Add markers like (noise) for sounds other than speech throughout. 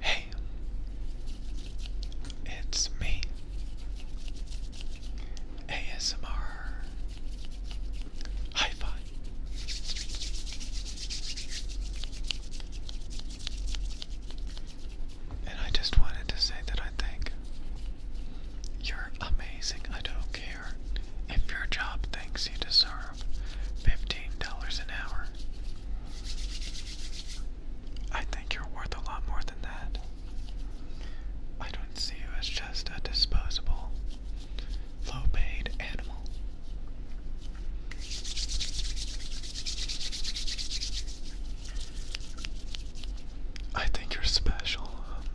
Hey, it's me, ASMR Hi Fi. And I just wanted to say that I think you're amazing. I don't care if your job thinks you deserve $15 an hour. I think you're worth a lot more than that. I don't see you as just a disposable, low paid animal. I think you're special,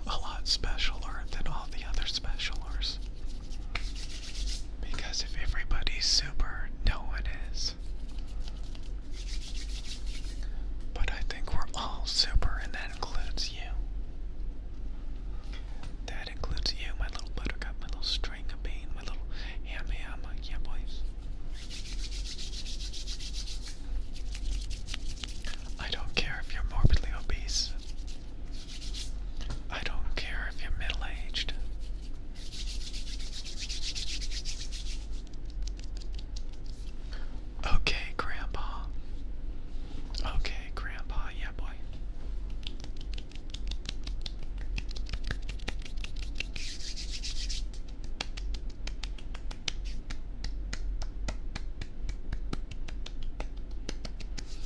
a lot specialer than all the other specialers. Because if everybody's super, no one is. But I think we're all super, and that includes you. That includes you, my little buttercup, my little string of bean, my little ham ham, uh, yeah, boys. I don't care if you're morbidly obese. I don't care if you're middle aged. Okay, Grandpa. Okay, Grandpa, yeah, boy.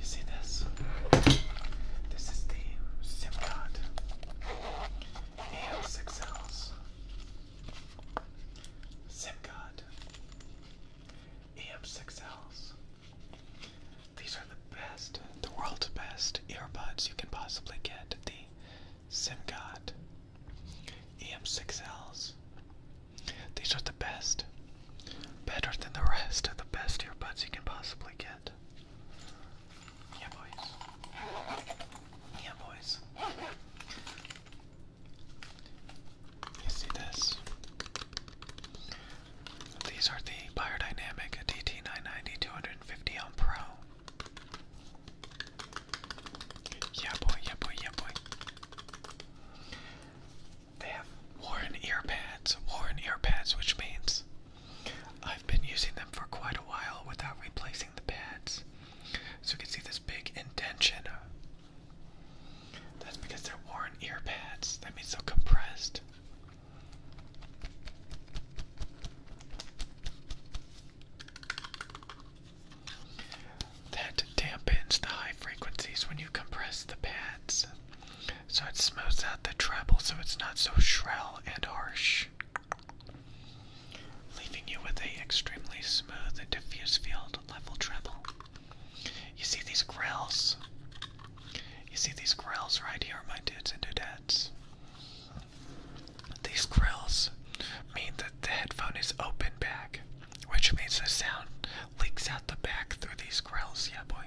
You see this? This is the SIM card. EL6Ls. SIM card. EM6Ls. These are the best, the world's best earbuds you can possibly get. The SIM card. EM6Ls. These are the best. Better than the rest of the best earbuds you can possibly get. Yeah, boys. Yeah, boys. You see this? These are the Biodynamic DT990 250 Ohm Pro. Yeah, boy, yeah, boy, yeah, boy. They have worn ear pads, worn ear pads, which means I've been using them for quite a while without replacing the pads. So you can see this big indention. That's because they're worn ear pads. That means they're compressed that dampens the high frequencies when you compress the pads. So it smooths out the treble so it's not so shrill and harsh, leaving you with a extremely smooth and diffuse field level treble. You see these grills? You see these grills right here, my dudes and dudettes? These grills mean that the headphone is open back which means the sound leaks out the back through these grills. Yeah, boy.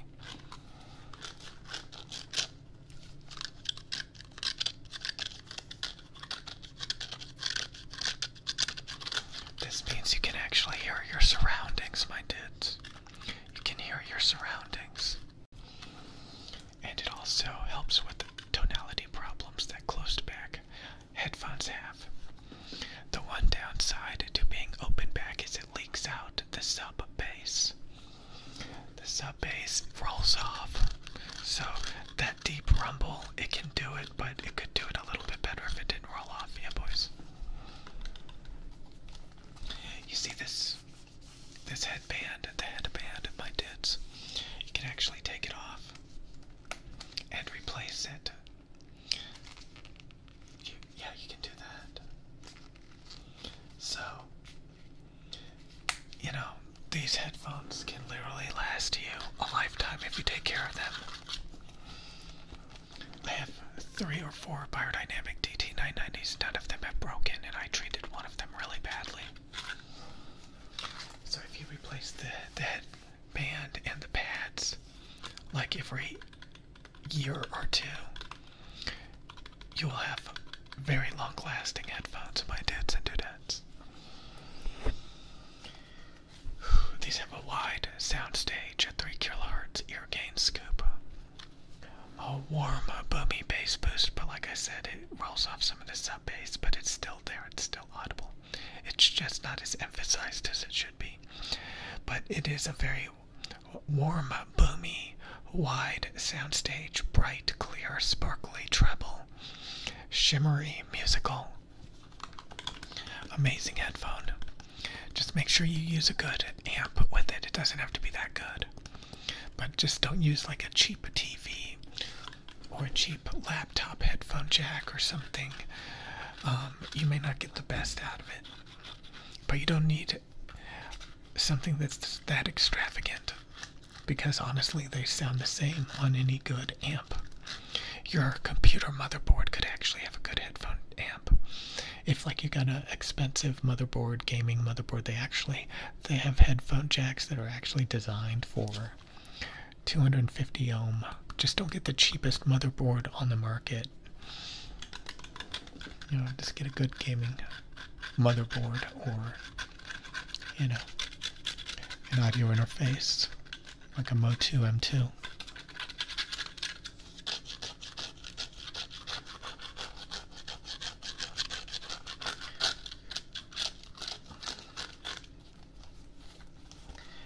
This means you can actually hear your surroundings, my dudes. You can hear your surroundings. And it also helps with tonality problems that closed back headphones have. The one downside to being open back is it leaks out the sub bass. The sub bass rolls off. So that deep rumble, it can do it, but it could do it a little bit better if it didn't roll off. Yeah, boys. You see this this headband, the headband of my dits. You can actually take it off and replace it yeah, you can do that. So, you know, these headphones can literally last you a lifetime if you take care of them. I have three or four Biodynamic DT990s. None of them have broken, and I treated one of them really badly. So if you replace the the head band and the pads like every year or two. You'll have very long lasting headphones, my dudes and dudettes. (sighs) These have a wide soundstage, a 3 kHz ear gain scoop, a warm, boomy bass boost, but like I said, it rolls off some of the sub bass, but it's still there, it's still audible. It's just not as emphasized as it should be. But it is a very warm, boomy, wide soundstage, bright, clear, sparkly treble, shimmery, musical. Amazing headphone. Just make sure you use a good amp with it. It doesn't have to be that good. But just don't use like a cheap TV or a cheap laptop headphone jack or something um, you may not get the best out of it. But you don't need something that's that extravagant because honestly, they sound the same on any good amp. Your computer motherboard could actually have a good headphone amp. If like you got an expensive motherboard, gaming motherboard, they actually they have headphone jacks that are actually designed for 250 ohm. Just don't get the cheapest motherboard on the market you know, just get a good gaming motherboard or, you know, an audio interface like a Mo2 M2.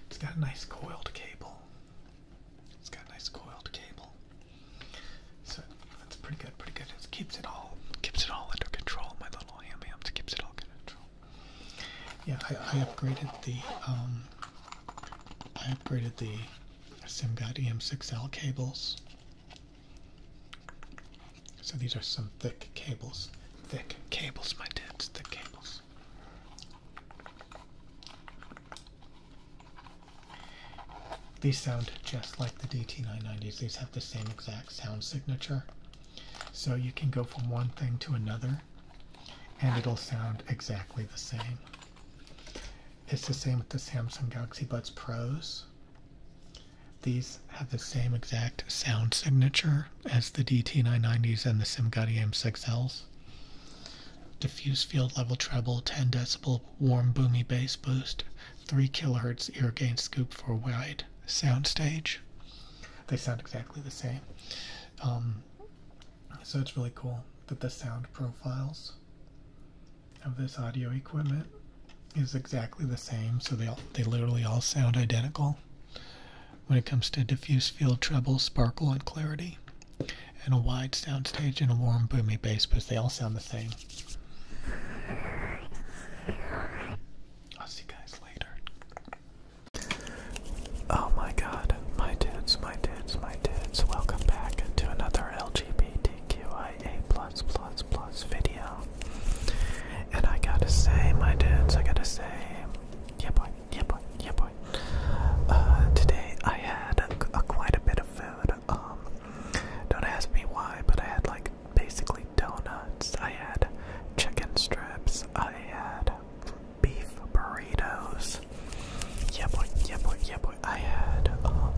It's got a nice coiled cable. It's got a nice coiled cable. So that's pretty good, pretty good. It keeps it all keeps it all under control. My little ham hams keeps it all under control. Yeah, I, upgraded the I upgraded the um, SimGuide EM6L cables. So these are some thick cables. Thick cables, my dudes, thick cables. These sound just like the DT990s. These have the same exact sound signature. So you can go from one thing to another and it'll sound exactly the same. It's the same with the Samsung Galaxy Buds Pros. These have the same exact sound signature as the DT990s and the SimGuide M6Ls. Diffuse field level treble, 10 decibel warm boomy bass boost, 3 kilohertz ear gain scoop for wide soundstage. They sound exactly the same. Um, so it's really cool that the sound profiles of this audio equipment is exactly the same so they they literally all sound identical when it comes to diffuse field treble, sparkle, and clarity, and a wide soundstage and a warm, boomy bass because they all sound the same. I'll see you guys later. Oh my god, my dudes, my dudes, my dudes, welcome back to another LGBTQIA plus plus plus video. And I gotta say, my dudes, I gotta say, yeah boy. Yeah, boy. Yeah, boy. Uh, today I had a, quite a bit of food. Um, don't ask me why, but I had like basically donuts. I had chicken strips. I had beef burritos. Yeah, boy. Yeah, boy. Yeah, boy. I had um,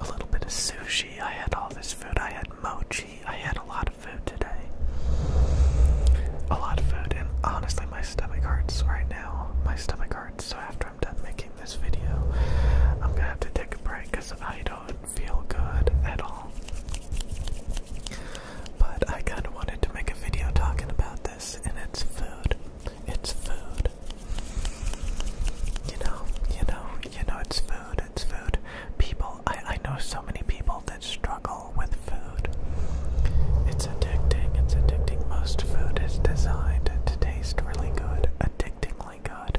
a little bit of sushi. I had all this food. I had mochi. I had a lot of food today. A lot of food, and honestly, my stomach hurts right now. My stomach hurts, so after I'm done making this video, I'm gonna have to take a break because I don't feel good at all. But I kind of wanted to make a video talking about this, and it's food. It's food. You know, you know, you know, it's food. It's food. People, I I know so many people that struggle with food. It's addicting, it's addicting. Most food is designed to taste really good, addictingly good.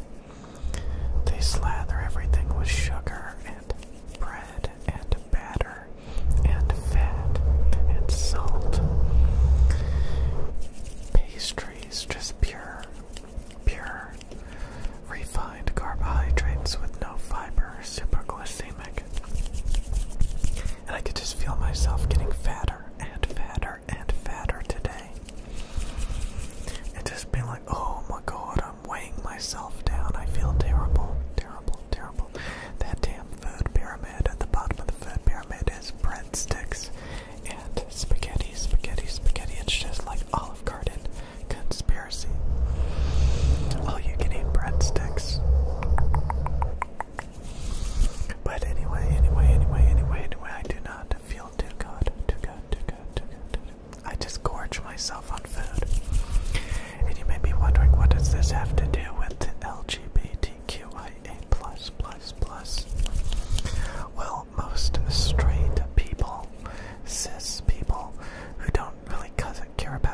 They slather everything with sugar and bread and batter and fat and salt. Pastries, just pure, pure, refined carbohydrates with no fiber, superglycemic and I could just feel myself getting fatter and fatter and fatter today. And just being like, oh my god, I'm weighing myself down. I feel terrible, terrible, terrible. That damn food pyramid at the bottom of the food pyramid is breadsticks and spaghetti, spaghetti, spaghetti. It's just like Olive Garden conspiracy. Oh, you can eat breadsticks. But anyway, anyway, anyway, anyway, anyway, I do not feel too good, too good, too good, too good, too good. I just gorge myself on food. And you may be wondering, what does this have to do with LGBTQIA plus plus plus? Well, most straight people, cis people, who don't really care about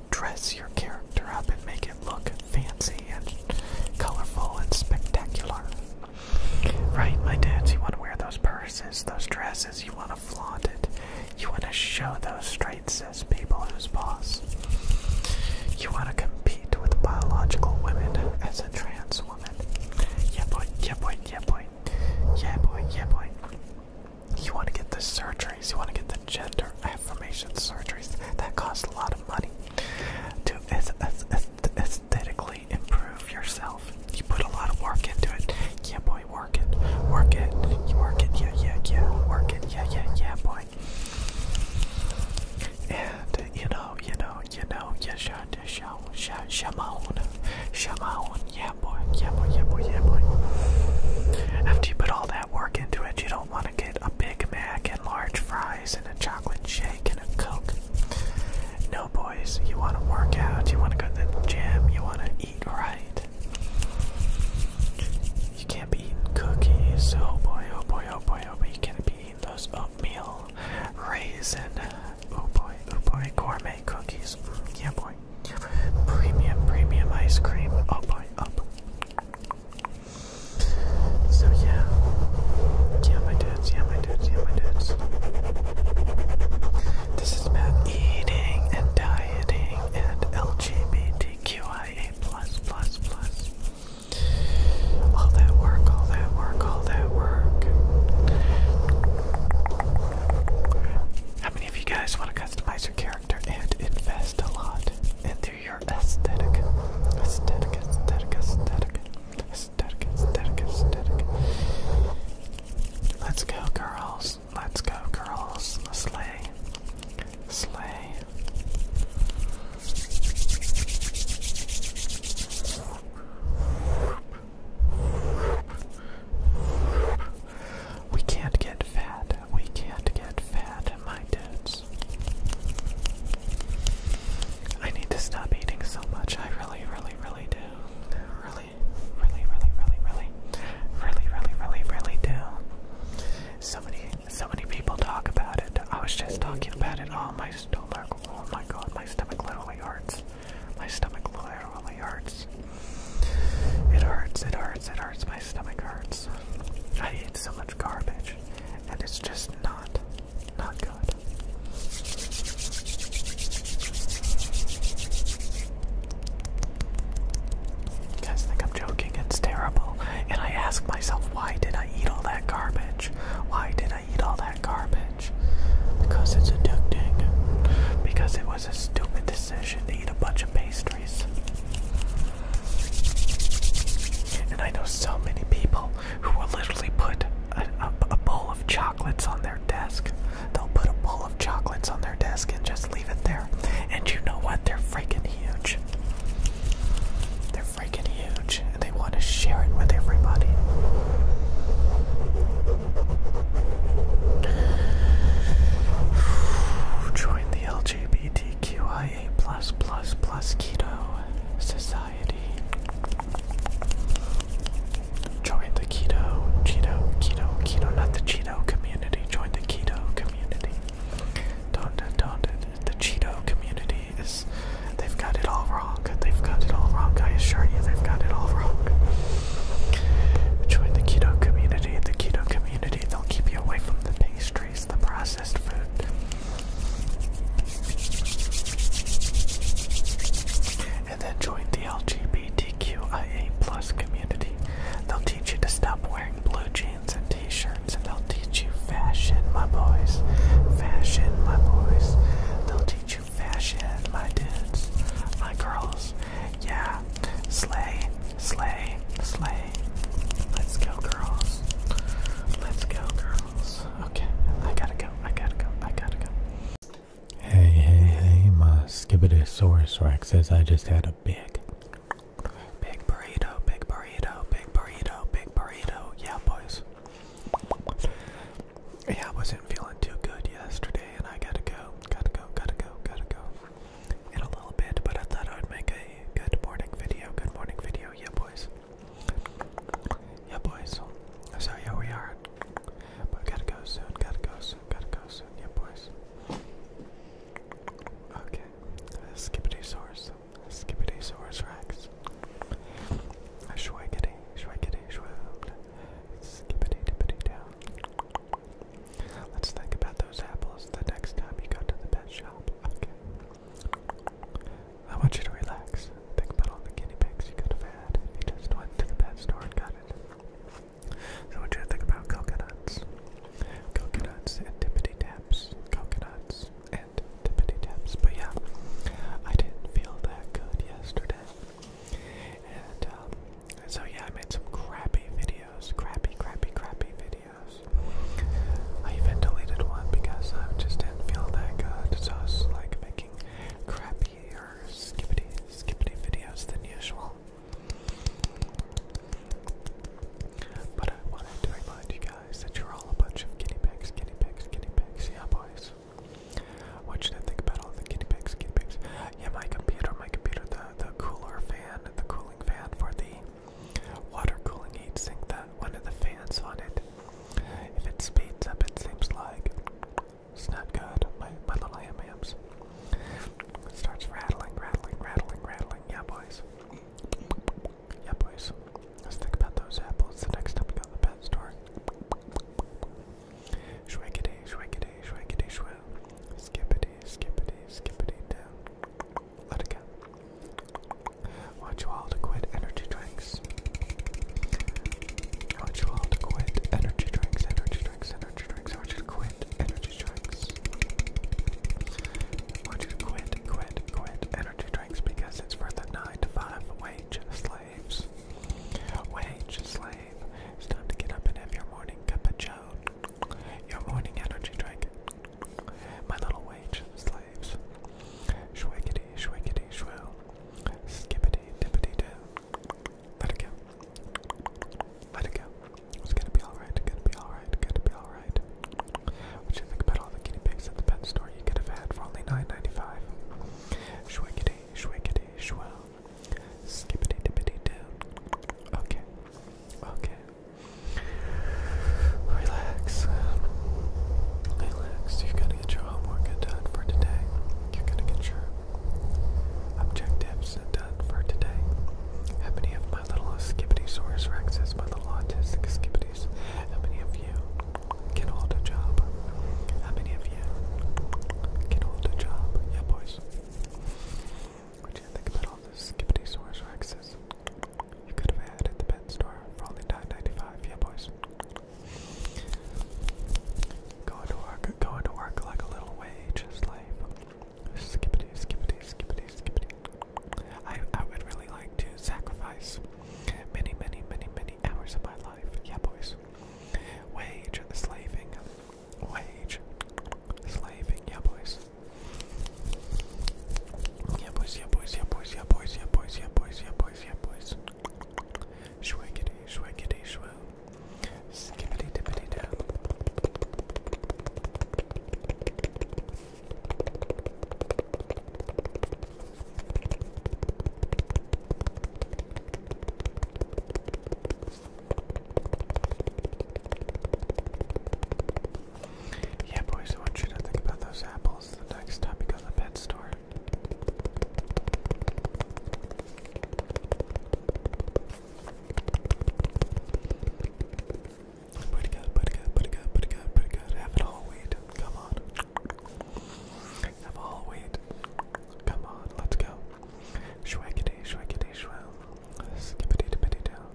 of dress your character up and make it look fancy and colorful and spectacular. Right, my dudes, you want to wear those purses, those dresses, you want to flaunt it. You want to show those straight cis people who's boss. You want to compete with biological women as a trans woman. Yeah, boy, yeah, boy, yeah, boy. Yeah, boy, yeah, boy. You want to get the surgeries, you want to get the gender affirmation surgeries that cost a lot of money to aesthetically improve yourself. You put a lot of work into it. Yeah, boy, work it. Work it. You work it. Yeah, yeah, yeah. Work it. Yeah, yeah, yeah, boy. And you know, you know, you know, you should, show, show, shamoan, shamoan, yeah boy, yeah boy, yeah boy, yeah boy. After you put all that work into it, you don't want to get wanted a Big Mac and large fries and a chocolate shake and a Coke. No, boys, you want to work out, you want to go to the gym, you want to eat right. You can't be eating cookies, oh boy, oh boy, oh boy, oh boy, you can't be eating those oatmeal, raisin, oh boy, oh boy, gourmet cookies, yeah boy, premium, premium ice cream, oh boy, oh boy. So yeah, yeah my dudes, yeah my dudes, yeah my dudes. This is about eating and dieting and LGBTQIA plus plus plus. All that work, all that work, all that work. How many of you guys want to customize your character and invest a lot in your aesthetic. Aesthetic, aesthetic, aesthetic. Aesthetic, aesthetic, aesthetic. Let's go, girls. Let's go, girls. Slay. Slay. We can't get fat we can't get fat minded. I need to stop eating so much. I really, really, really do. Really, really, really, really, really, really, really, really, really do. So many, so many people talk about it. I was just talking about it. Oh, my stomach. Oh my god, my stomach literally hurts. My stomach literally hurts. It hurts, it hurts, it hurts. My stomach hurts. I eat so much garbage, and it's just not, not good. You guys think I'm joking? It's terrible. And I ask myself, why did I eat all that garbage? Why did I eat all that garbage? Because it's addicting. Because it was a stupid decision to eat a bunch of pastry. And I know so many people who will literally put a, a bowl of chocolates on their desk. They'll put a bowl of chocolates on their desk and just leave it there. And you know what? They're freaking huge. They're freaking huge, and they want to share it with everybody. (sighs) Join the LGBTQI a plus plus plus keto society. Join the keto, cheeto, keto, keto, not the cheeto community. Join the keto community. Don't, the cheeto community is, they've got it all wrong. They've got it all wrong. I assure you, they've got it all wrong. Join the keto community. The keto community, they'll keep you away from the pastry the processed food. And then join the LGBTQIA plus community. They'll teach you to stop wearing blue jeans and t-shirts and they'll teach you fashion, my boys. Fashion, my boys. They'll teach you fashion, my dudes, my girls. Yeah. Slay, slay, slay. Let's go, girls. Let's go, girls. Okay. I gotta go. I gotta go. I gotta go. Hey, hey, hey, my Skibbidosaurus Rex says I just had a big, big burrito, big burrito, big burrito, big burrito. Yeah, boys. Yeah, I wasn't feeling too good yesterday, and I gotta go, gotta go, gotta go, gotta go in a little bit, but I thought I would make a good morning video. Good morning video, yeah, boys. Yeah, boys. So here we are. But gotta go soon. Gotta go soon. Gotta go soon. Yeah, boys. Okay. Skippity source. Skippity source Rex. Schwiggity, schwiggity, schwilled. Skippity dippity down. Let's think about those apples the next time you go to the pet shop. Okay. I want you to relax. Think about all the guinea pigs you could have had you just went to the pet store and got it. So I want you to think about coconuts. Coconuts and tippity taps. Coconuts and tippity taps. But yeah, I didn't feel that good yesterday. And um, so yeah, I made some crappy videos. Crappy, crappy, crappy videos. I even deleted one because I just didn't feel that good, so I was like making crappy or skippity skippity videos than usual. But I wanted to remind you guys that you're all a bunch of guinea pigs, guinea pigs, guinea pigs, yeah boys. I want you think about all the guinea pigs, guinea pigs. Yeah, my computer, my computer, the, the cooler fan, the cooling fan for the Water cooling heatsink that one of the fans on it. If it speeds up, it seems like it's not good. My, my little ham hams. It starts rattling, rattling, rattling, rattling. Yeah, boys. Yeah, boys. Let's think about those apples the next time we go to the pet store. Shwiggity, shwiggity, shwiggity, shwig. Skippity, skippity, skippity down. Let it go. I want you all to quit energy drinks. I want you all to quit energy drinks, energy drinks, energy drinks. I want you to quit energy drinks. I want you to quit, quit, quit energy drinks because it's for the 9 to 5 wage slaves. Wage slave. It's time to get up and have your morning cup of joe. Your morning energy drink. My little wage slaves. Shwiggity, shwiggity, shwill. Skippity, dippity, doo. Let it go. Let it go. It's gonna be alright, gonna be alright, gonna be alright. What do you think about all the guinea pigs at the pet store you could have had for only $9.95? Shwiggity, shwiggity, shwill. Skippity, dippity, doo. Okay. Okay. Relax. Um, relax. You've got to get your homework done for today. You've got to get your objectives done for today. How many of my little Skibbitysaurus rexes, my little autistic skibbities, how many of you can hold a job? How many of you can hold a job? Yeah, boys. What do you think about all those Skibbitysaurus rexes? You could have had at the pet store for only 9 Yeah, boys. Going to work, going to work like a little wage slave. Skippity, skippity, skippity, skippity. I, I would really like to sacrifice many, many, many, many hours of my life. Yeah, boys. Wage slaving, wage slaving. Yeah, boys. Yeah, boys, yeah, boys, yeah, boys, yeah, boys, yeah, boys, yeah, boys, yeah, boys, yeah, boys. Shwaggity, shwaggity, shwa. Skippity, dippity, dab. Yeah, boys, I want you to think about those apples the next time you go to the pet store. Put good, put good, put good, put good, put good. Have it all wheat. Come on. Have all wheat. Come on, let's go. Shwackity, shwackity, shwell. Skippity, dippity, down.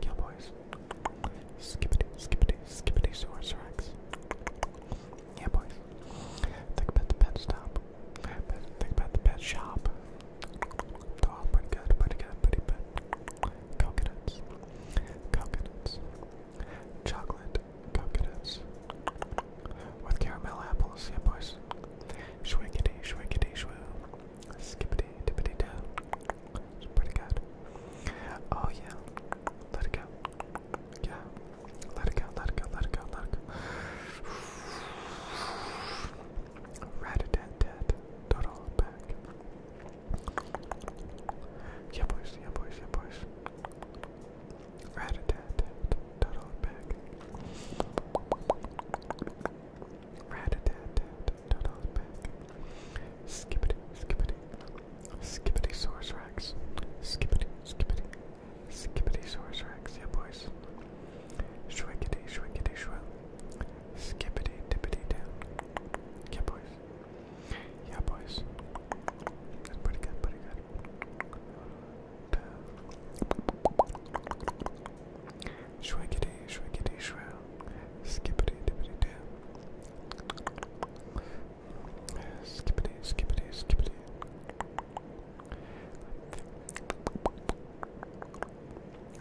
Kill boys. Skippity, skippity, skippity, source rex. Yeah, boys. Think about the pet stop. Think about the pet shop. They're all pretty good, pretty good, pretty good. Coconuts, coconuts, chocolate coconuts with caramel apples. Yeah, boys. Shwiggity, shwiggity, shwoo. Skippity, dippity, down. It's pretty good. Oh yeah. Let it go. Yeah. Let it go, let it go, let it go, let it go. Rat a tat tat. Total back. Yeah boys, yeah boys, yeah boys. Rat a tat tat. Total back rat a tat tat tat on the back. Skippity, skippity, skippity source rex. Skippity, skippity, skippity source rex. Yeah, boys. Shwickity, shwickity, shwill. Skippity, tippity, down. Yeah, boys. Yeah, boys. That's pretty good, pretty good. Shwiggity, shwiggity, shrill. Skippity dippity doo. Skippity, skippity, skippity.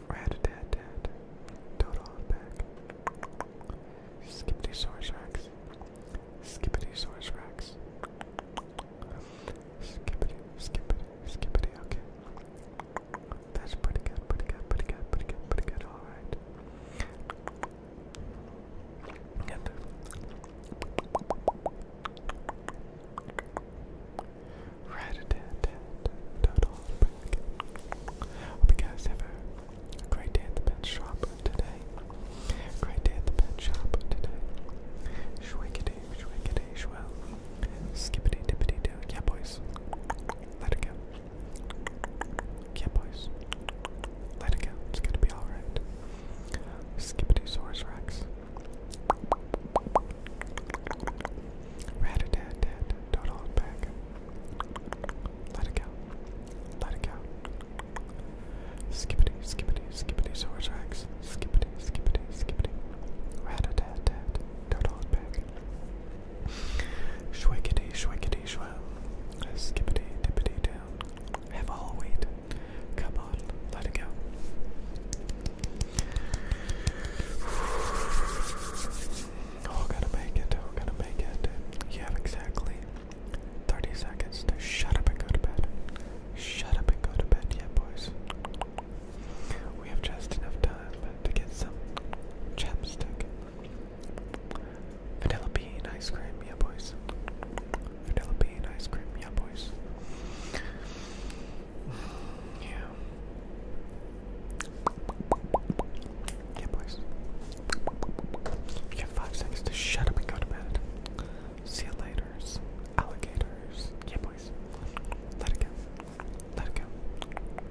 Rat a tat tat. Dodo on back. Skippity source racks. Skippity source racks. Skippity, skippity, skippity. Okay. That's pretty good, pretty good, pretty good, pretty good, pretty good, alright. And right at total. Hope you guys have a great day at the pet shop today. Great day at the pet shop today. Shwakity, shwakity, shwell. Skippity, dippity, do. Yeah, boys. Let it go. Yeah, boys. Let it go. It's gonna be alright. Skippity Saurus Rex. Rat a tat tat. Don't Let it go. Let it go. Skippity, skippity, skippity, Saurus Rex. Skippity, skippity, skippity. Rat a tat tat. Don't Shwickety, shwickety, shwam. Skippity, dippity down. Have a whole wheat. Come on, let it go. Oh, gotta make it, oh, gotta make it. You have exactly 30 seconds to shut up and go to bed. Shut up and go to bed, yeah, boys. We have just enough time to get some chapstick Vanilla bean ice cream, yeah, boys. Vanilla bean ice cream, yeah, boys. Yeah. Yeah, boys. You have five seconds to shut up and go to bed. See you later, alligators. Yeah, boys. Let it go. Let it go.